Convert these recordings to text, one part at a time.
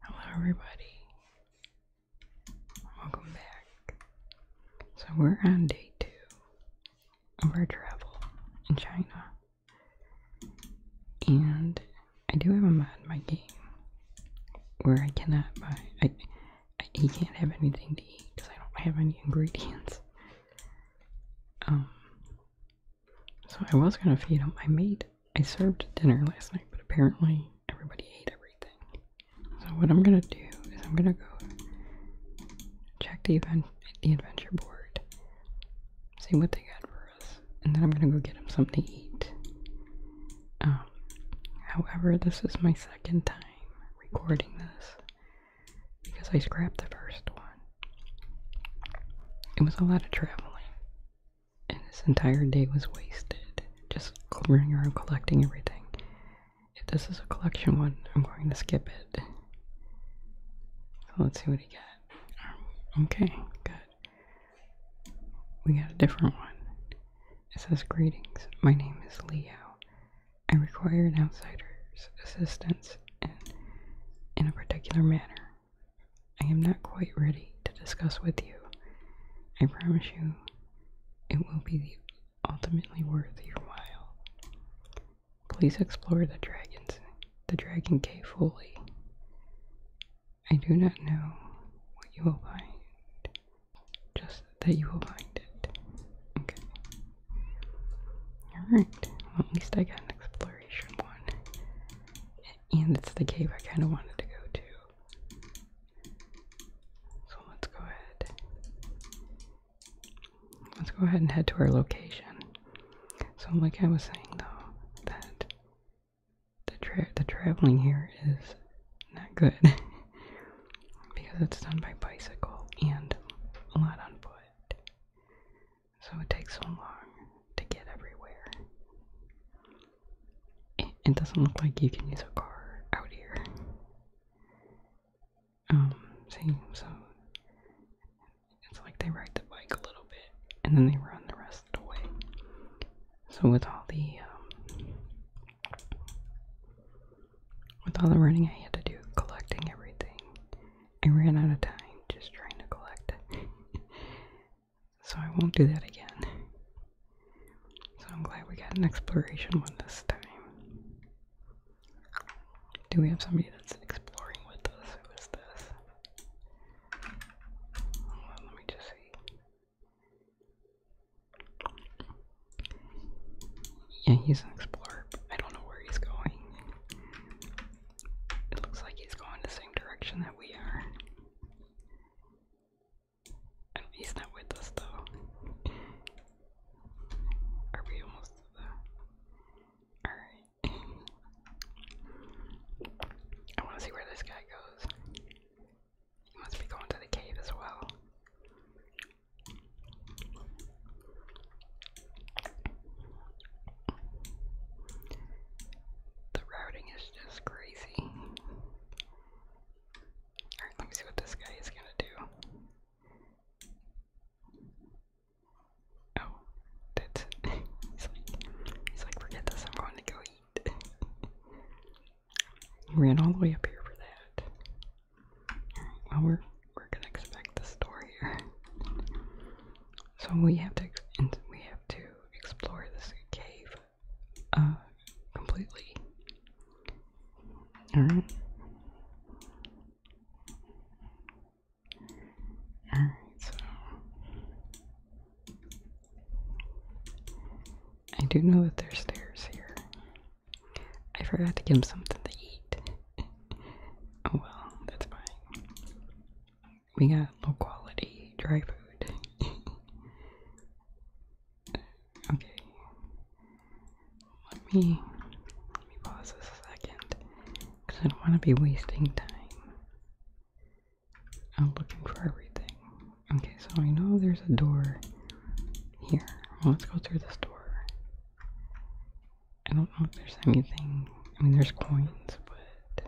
Hello, everybody. Welcome back. So, we're on day two of our travel in China. And I do have a mad in my game where I cannot buy. I, he can't have anything to eat because I don't have any ingredients. Um, so I was gonna feed him. my meat. I served dinner last night, but apparently everybody ate everything. So what I'm gonna do is I'm gonna go check the adventure board, see what they got for us, and then I'm gonna go get them something to eat. Um, however, this is my second time recording this because I scrapped the first one. It was a lot of traveling and this entire day was wasted just clearing around collecting everything. If this is a collection one, I'm going to skip it. So let's see what he got. Um, okay, good. We got a different one. It says, Greetings, my name is Leo. I require an outsider's assistance in, in a particular manner. I am not quite ready to discuss with you. I promise you it will be ultimately worth your while. Please explore the dragons the dragon cave fully. I do not know what you will find. Just that you will find it. Okay. Alright. at least I got an exploration one and it's the cave I kind of wanted to go to. So let's go ahead. Let's go ahead and head to our location. So, like I was saying though, that the the traveling here is not good because it's done by bicycle and a lot on foot. So it takes so long to get everywhere. It, doesn't look like you can use a car out here. Um, see, so it's like they ride the bike a little bit and then they run the rest of the way. So with all the um, with all the running I had to do collecting everything, I ran out of time just trying to collect So I won't do that again. So I'm glad we got an exploration one this time. Do we have somebody that's exploring with us? Who is this? let me just see. Yeah, he's an explorer. I don't know where he's going. It looks like he's going the same direction that we are he's not with us though. Are we almost to Alright. I wanna see where this guy goes. He must be going to the cave as well. The routing is just crazy. Alright, let me see what this guy is gonna do. Oh, that's he's, like, he's like, forget this, I'm going to go eat. he ran all the way up here for that. Alright, well, we're, we're gonna inspect the store here. So we have to we have to explore this cave uh, completely. All right. All right. So I do know that there's stairs here. I forgot to give him something to eat. oh well, that's fine we got low quality dry food. okay. Let me let me pause this a second. Cause I don't wanna be wasting time. I'm looking for everything. Okay, so I know there's a door here. let's go through this door. I don't know if there's anything. I mean, there's coins, but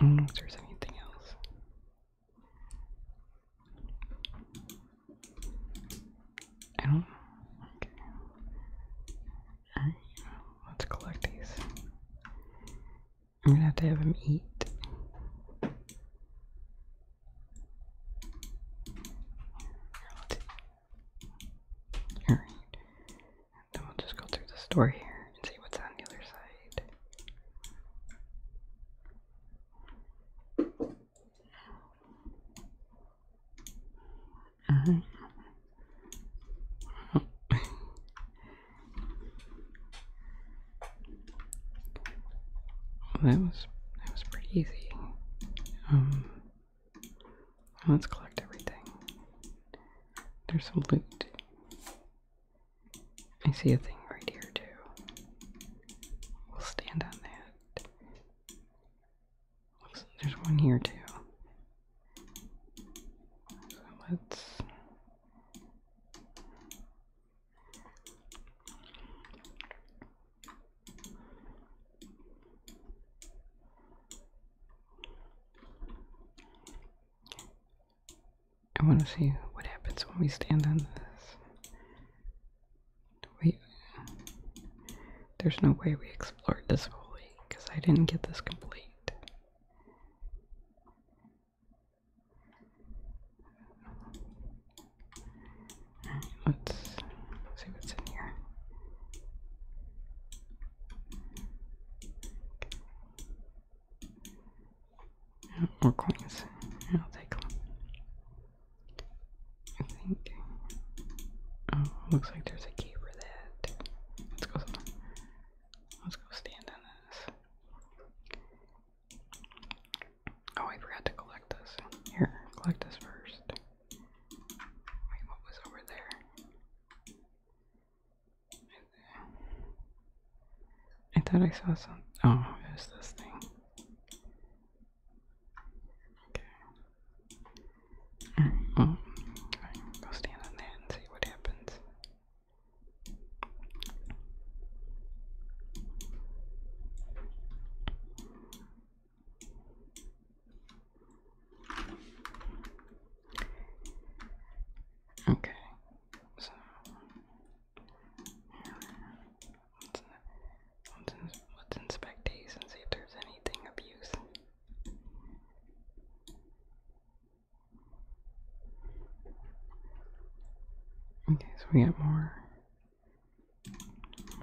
Mm, I do anything else. I don't let's collect these. I'm gonna have to have him eat. Alright. Then we'll just go through the store here and see what's on the other side. Alright. Mm-hmm. Oh. well, that was that was pretty easy. Um Let's collect everything. There's some loot. I see a thing right here, too. We'll stand on that. there's one here, too. So let's. I want to see what happens when we stand on this. Wait, there's no way we explored this fully because I didn't get this complete. Let's see what's in here. more coins. I'll take them. I think. Oh, looks like there's a key for that. Let's go. Let's go stand on this. Oh, I forgot to collect this. Here, collect this first. Wait, what was over there? I thought I saw something. Oh, it this thing. Okay. Alright, go stand on that and see what happens. Okay, so let's, let's, inspect these and see if there's anything of Okay, so we get more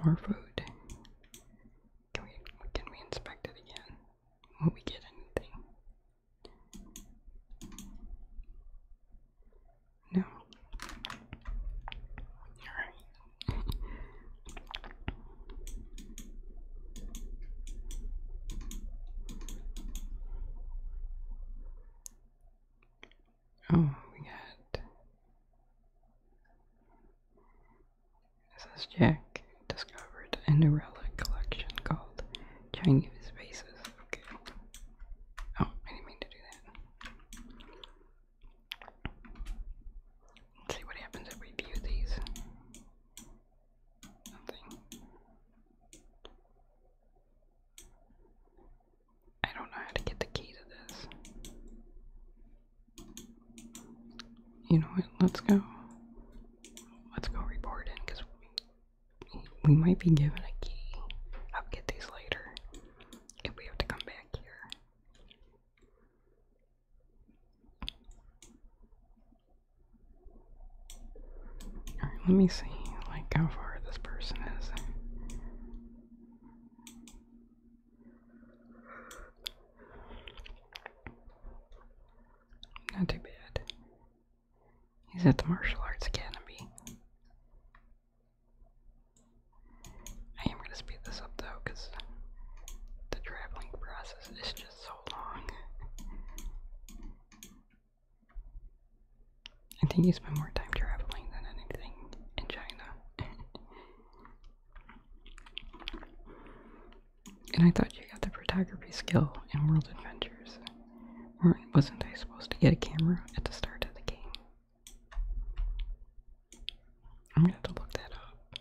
more food. Can we can we inspect it again? Will we get anything? No. Alright. oh, we got this is Jack discovered a new relic collection called Chinese Vases. Okay. Oh, I didn't mean to do that. see what happens if we view these. Nothing. I don't know how to get the key to this. You know what? Let's go. Let's go report in because we, we might be given a key. I'll get these later if we have to come back here. Alright, let me see like how far this person is. Not too bad. He's at the Martial Arts Academy. I am going to speed this up though, the traveling process is just so long. I think you spend more time traveling than anything in China. And I thought you got the photography skill in World Adventures. wasn't I supposed to get a camera at the start of the game? I'm gonna have to look that up.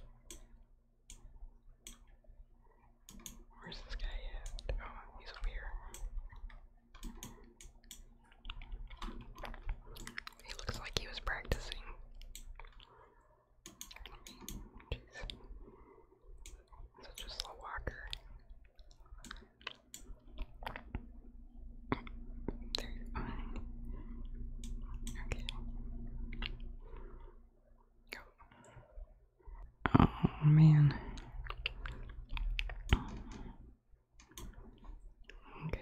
Where's this guy Oh, he's over here. He looks like he was practicing. Jeez. Such a slow walker. Okay. Go. Oh man. Okay,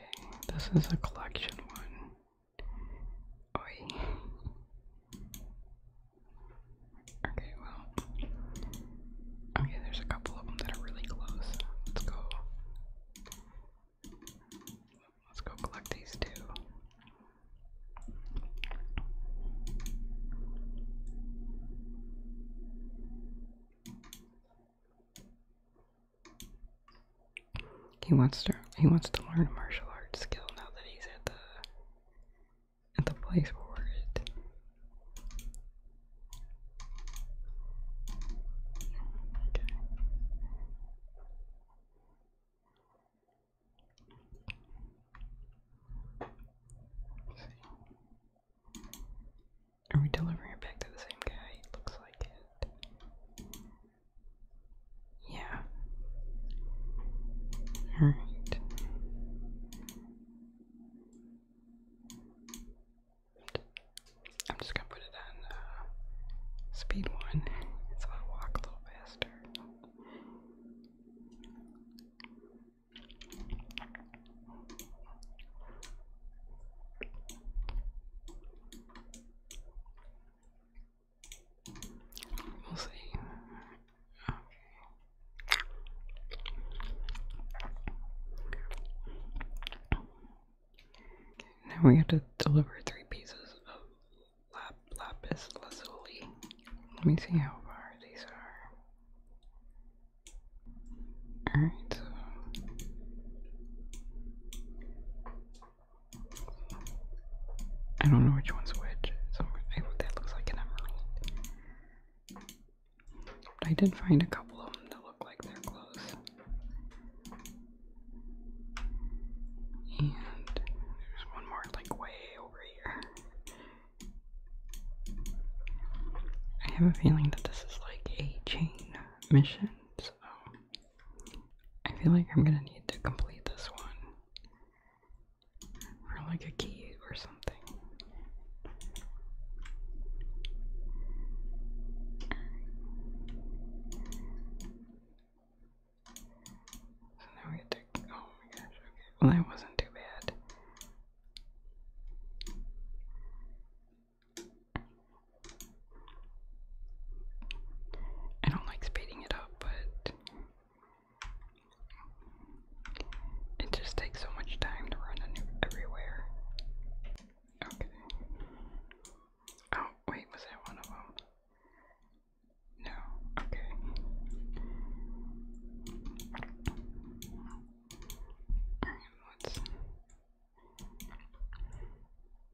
this is a collection one. Okay, well. Okay, there's a couple of them that are really close. Let's go. Let's go collect these two. He wants to he wants to learn a martial arts skill now that he's at the at the place where it. Okay. Are we delivering it back to the same guy? looks like it. Yeah. All right. I'm just gonna put it on uh, speed one, so I walk a little faster now we have to deliver three pieces of lapis lazuli. Let me see how far these are. Alright, I don't know which one's which. So I that looks like an emerald. I did find a couple of them that look like they're close. And there's one more like way over here. I have a feeling that this is like a chain mission, I feel like I'm gonna need to complete this one for like a key or something. So now we have to. Oh my gosh, okay. Well, that wasn't too bad. I don't like speeding it up, but it just takes so much time to run everywhere. Okay. Oh, wait, was that one of them? No, okay. Alright, let's.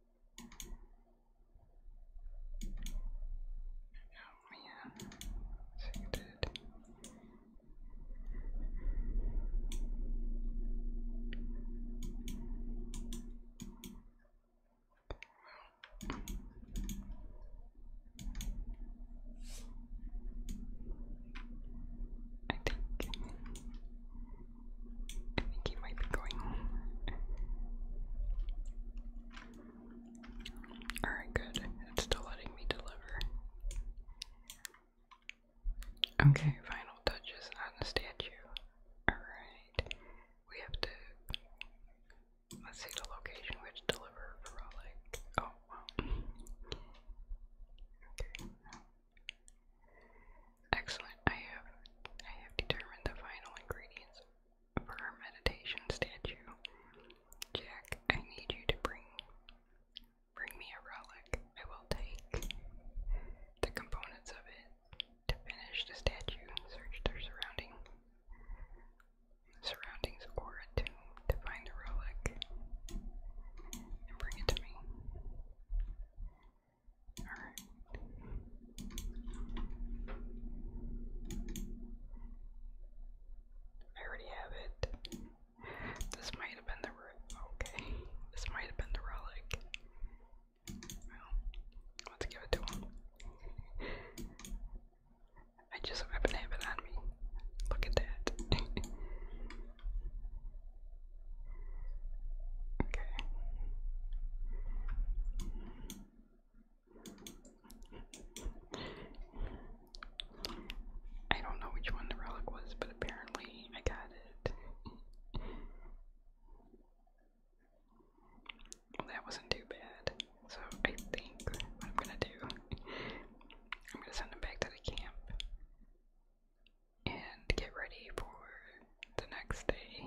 Oh man, so you did. I think I think he might be going. Alright, good. still letting me deliver. Okay, final touches on the statue. Alright. We have to. Let's see the location we to deliver for relic. Oh, wow. Okay. Excellent. I have I have determined the final ingredients for our meditation statue. Jack, I need you to bring bring me a relic. I will take the components of it to finish the statue. Search their surrounding surroundings or a tomb to find a relic and bring it to me. Alright. I already have it. This might have been the okay. This might have been the relic. let's give it to him. I just happen to have it on me. Look at that. Okay. I don't know which one the relic was, but apparently I got it. that wasn't too bad. So I think I'm gonna do, I'm gonna send him back to the camp and get ready for the next day.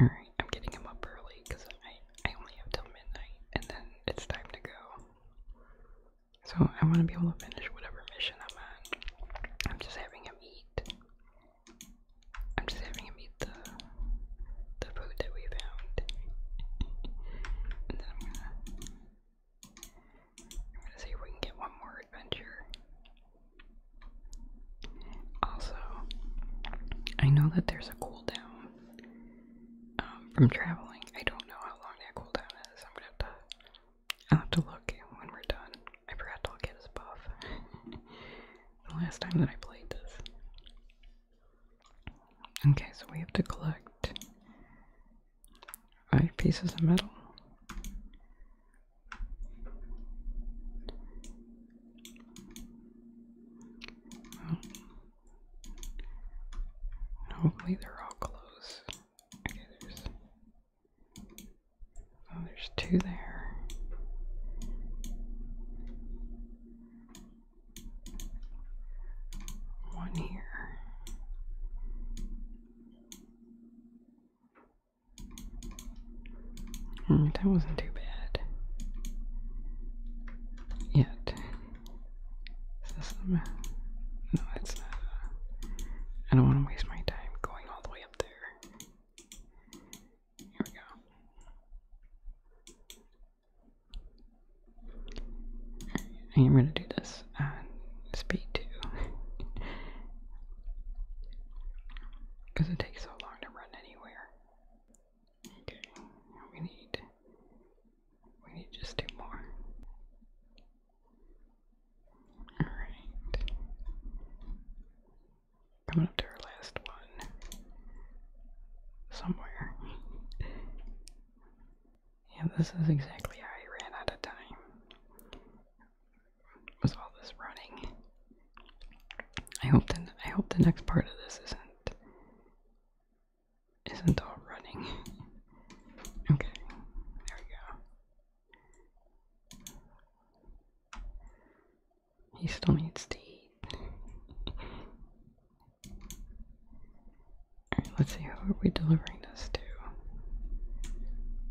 Alright, I'm getting him up early because I, I only have till midnight and then it's time to go. So I want to be able to finish whatever mission I'm on. I'm just having him eat. I'm just having him eat the the food that we found. and then I'm gonna I'm gonna see if we can get one more adventure. Also, I know that there's a cooldown um, from traveling. I don't know how long that cooldown is. I'm gonna have to. I'll have to look when we're done. I forgot to look at his buff the last time that I played this. Okay, so we have to collect right pieces of metal. hopefully they're all close. oh, there's two there. One here. Hmm, that wasn't too bad. Yet. No, it's not. I don't want to waste my time going all the way up there. Here we go. I am going to do this and speed too. Because it takes so long to run anywhere. Okay, we need we need just two more. Alright. Coming up to our last one. Somewhere. yeah, this is exactly how I ran out of time was all this running. I hope then I hope the next part of this isn't isn't all running. Okay, there we go. He still needs to eat. Alright, let's see how are we delivering minus 2.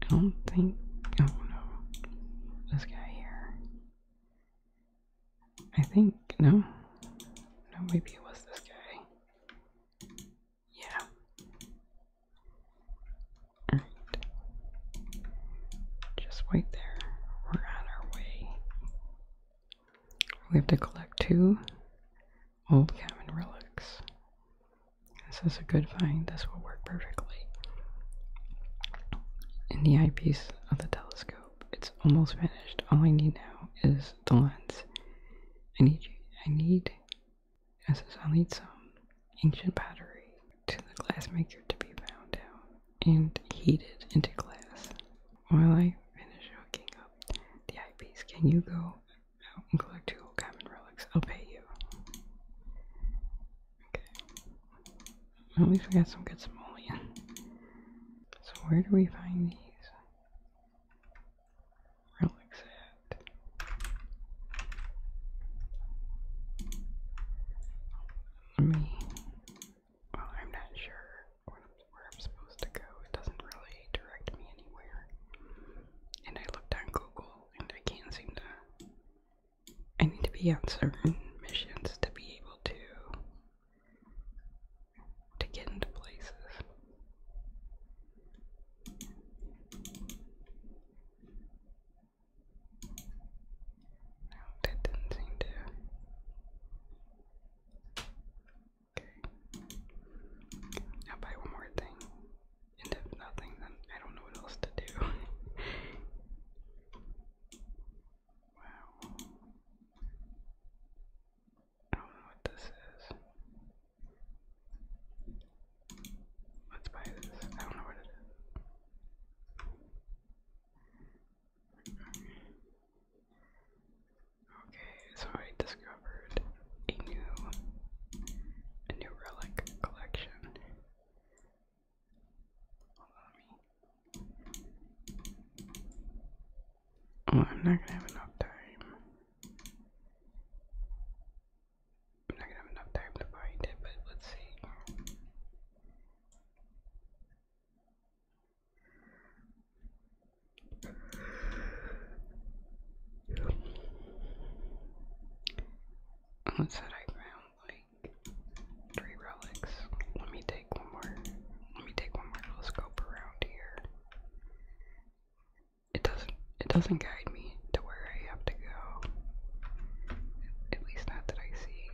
I don't think. Oh no. This guy here. I think. No? No, maybe it was this guy. Yeah. Alright. Just wait there. We're on our way. We have to collect two Hold calm relics. This is a good find. This will work perfectly. In the eyepiece of the telescope, it's almost finished. All I need now is the lens. I need you. I need. I says i need some ancient battery to the glassmaker to be found out and heated into glass. While I finish hooking up the eyepiece, can you go Oh, collect two common relics. I'll pay you. Okay. Well, at least we got some good simoleon. So where do we find these relics at? Let me. Well, I'm not sure where I'm supposed to go. It doesn't really direct me anywhere. And I looked on Google I can't seem to. I need to be on certain missions to be able to to get into places. No, that didn't seem to. Okay. i buy one more thing and if nothing, then I don't know what else to do. wow. I don't know what this is. Let's this. I don't know what it is. Okay, so I discovered a new a new relic collection. Oh, I'm not gonna have enough time. I'm not gonna have enough time to find it, but let's see. What's that I found? Like three relics. Let me take one more. Let me take one more telescope around here. It doesn't. It doesn't guide me to where I have to go. At least not that I see.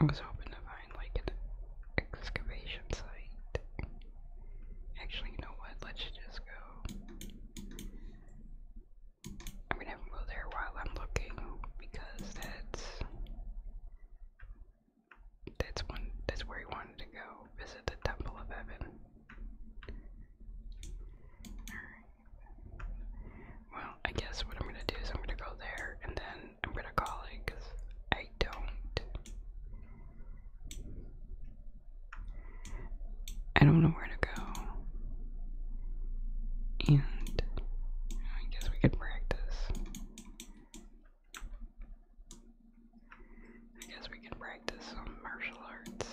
I was hoping to find like an excavation site. Actually, you know what? Let's just go. I'm gonna go there while I'm looking because that's that's one that's where he wanted to go. Visit the Temple of Heaven. Well, I guess what I'm gonna do is I'm gonna go there and then I'm gonna call it because I don't. I don't know where to go. And I guess we could practice. I guess we can practice some martial arts.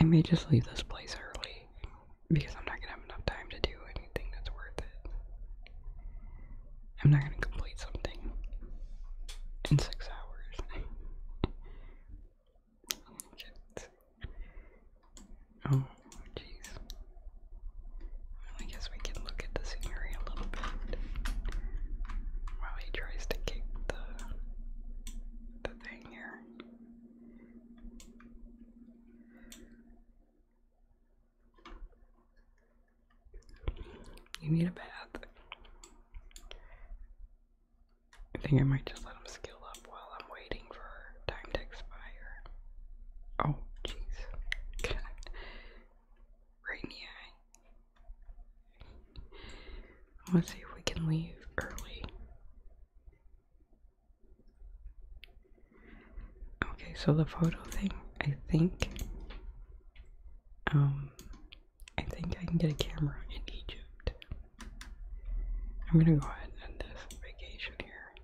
I may just leave this place early because I'm not gonna have enough time to do anything that's worth it. I'm not gonna complete something in six hours. Oh, jeez. I guess we can look at the scenery a little bit while he tries to kick the the thing here. You need a bath. I think I might just let him scale up while I'm waiting for time to expire. Oh, jeez. right in Let's see if we can leave early. Okay, so the photo thing, I think um I think I can get a camera in Egypt. I'm gonna go ahead and end this vacation here.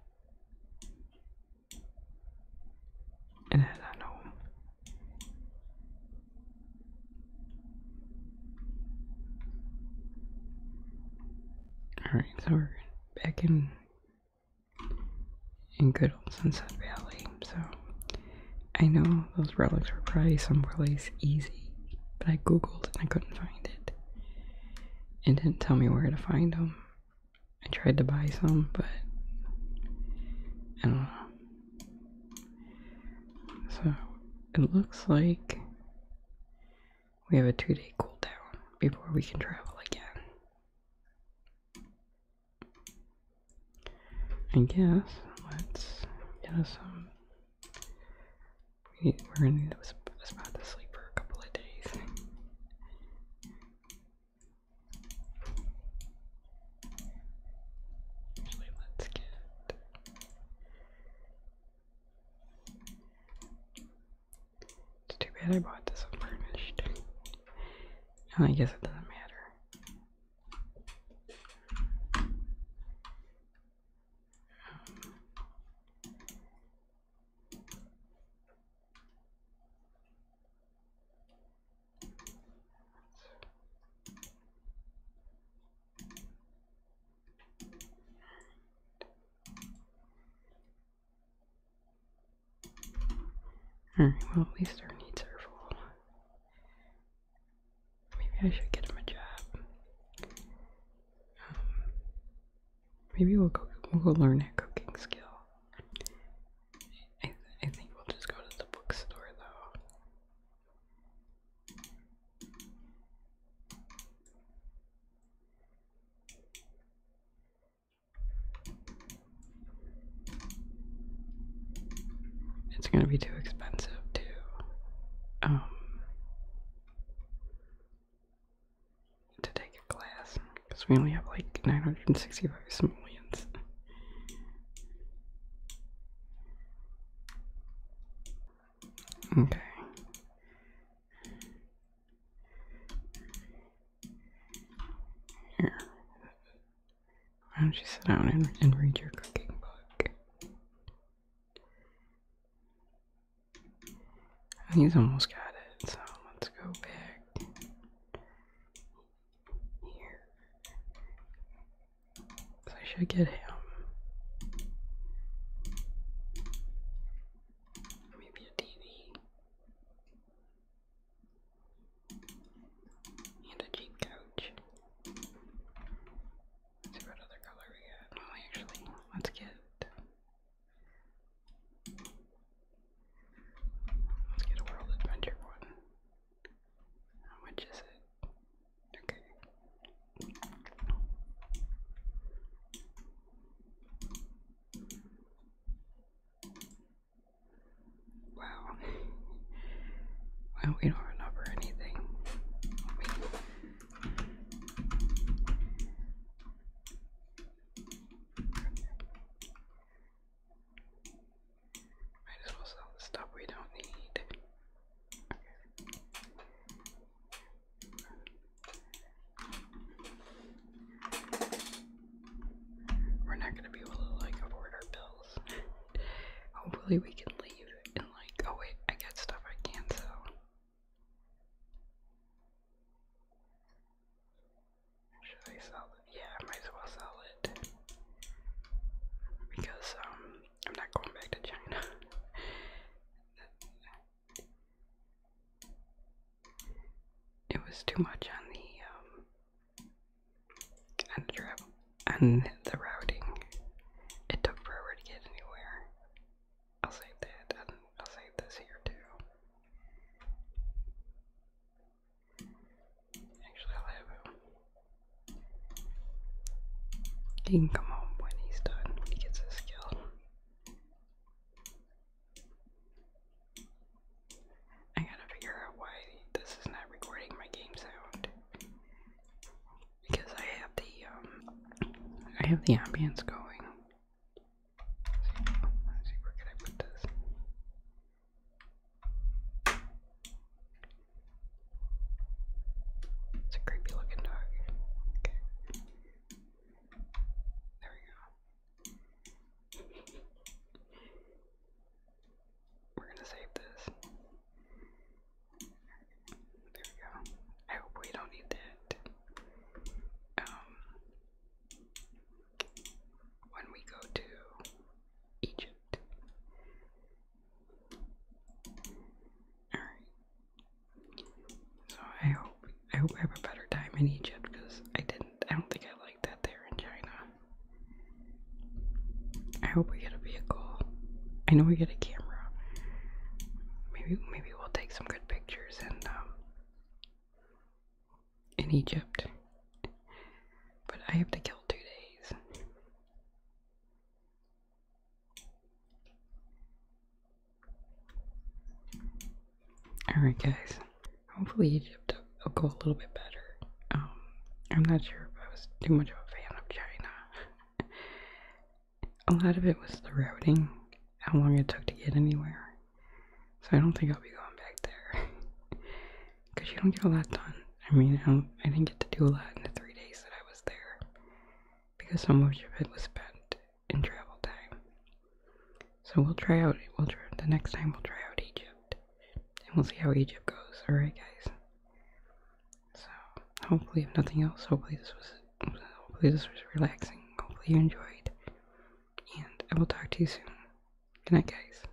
And head home. Alright, so we're back in in good old Sunset Valley. So I know those relics were probably someplace easy, but I googled and I couldn't find it. It didn't tell me where to find them. I tried to buy some, but so it looks like we have a two day cooldown before we can travel again. I guess let's get us some. We, are gonna need a spot to sleep for a couple of days. Actually, it's too bad I bought this unfurnished. and oh, I guess it doesn't matter well at least our needs are full. Maybe I should get him a job. Um, maybe we'll go we'll go learn a cooking skill. I think we'll just go to the bookstore though. It's going to be too expensive too um to take a class because we only have like 965 simoleons. Okay. Here. Why don't you sit down and, and read your cooking book? He's almost got it, so let's go back I should get him. Maybe a TV. And a cheap couch. what other color we got. Oh, actually, let's get. Let's get a world adventure one. How much is it? Okay. Wow. well, we don't remember anything. We... Okay. Might as well sell the stuff we don't need. We're not gonna be able to like afford our bills. Hopefully we can leave and like oh wait, I got stuff I can sell. Should I sell yeah, might as well sell it. Because, um, I'm not going back to China. it was too much on the, um, on the travel, on the routing. It took forever to get anywhere. I'll save that, and I'll save this here too. Actually, I'll him. He can come home when he's done. He gets his skill. I gotta figure out why this is not recording my game sound. Because I have the um I have the ambience going. where can I put this? It's a creepy looking dog. Okay. There we go. We're gonna save this. There we go. I hope we don't need that. Um, when we go to Egypt, Alright. So I hope I hope I have a better time in Egypt because I didn't I don't think I liked that there in China. I hope we get a vehicle. I know we get a camera. Maybe maybe we'll take some good pictures and um, in Egypt. But I have to kill two days. Alright, guys. Hopefully, Egypt will go a little bit better. Um, I'm not sure if I was too much of a fan of China. a lot of it was the routing, how long it took to get anywhere. So I don't think I'll be going back there. because you don't get a lot done. I mean, I didn't get to do a lot in the three days that I was there because so much of it was spent in travel time. So we'll try out. We'll try the next time. We'll try out Egypt, and we'll see how Egypt goes. All right, guys. So hopefully, if nothing else, hopefully this was hopefully this was relaxing. Hopefully you enjoyed, and I will talk to you soon. Good night, guys.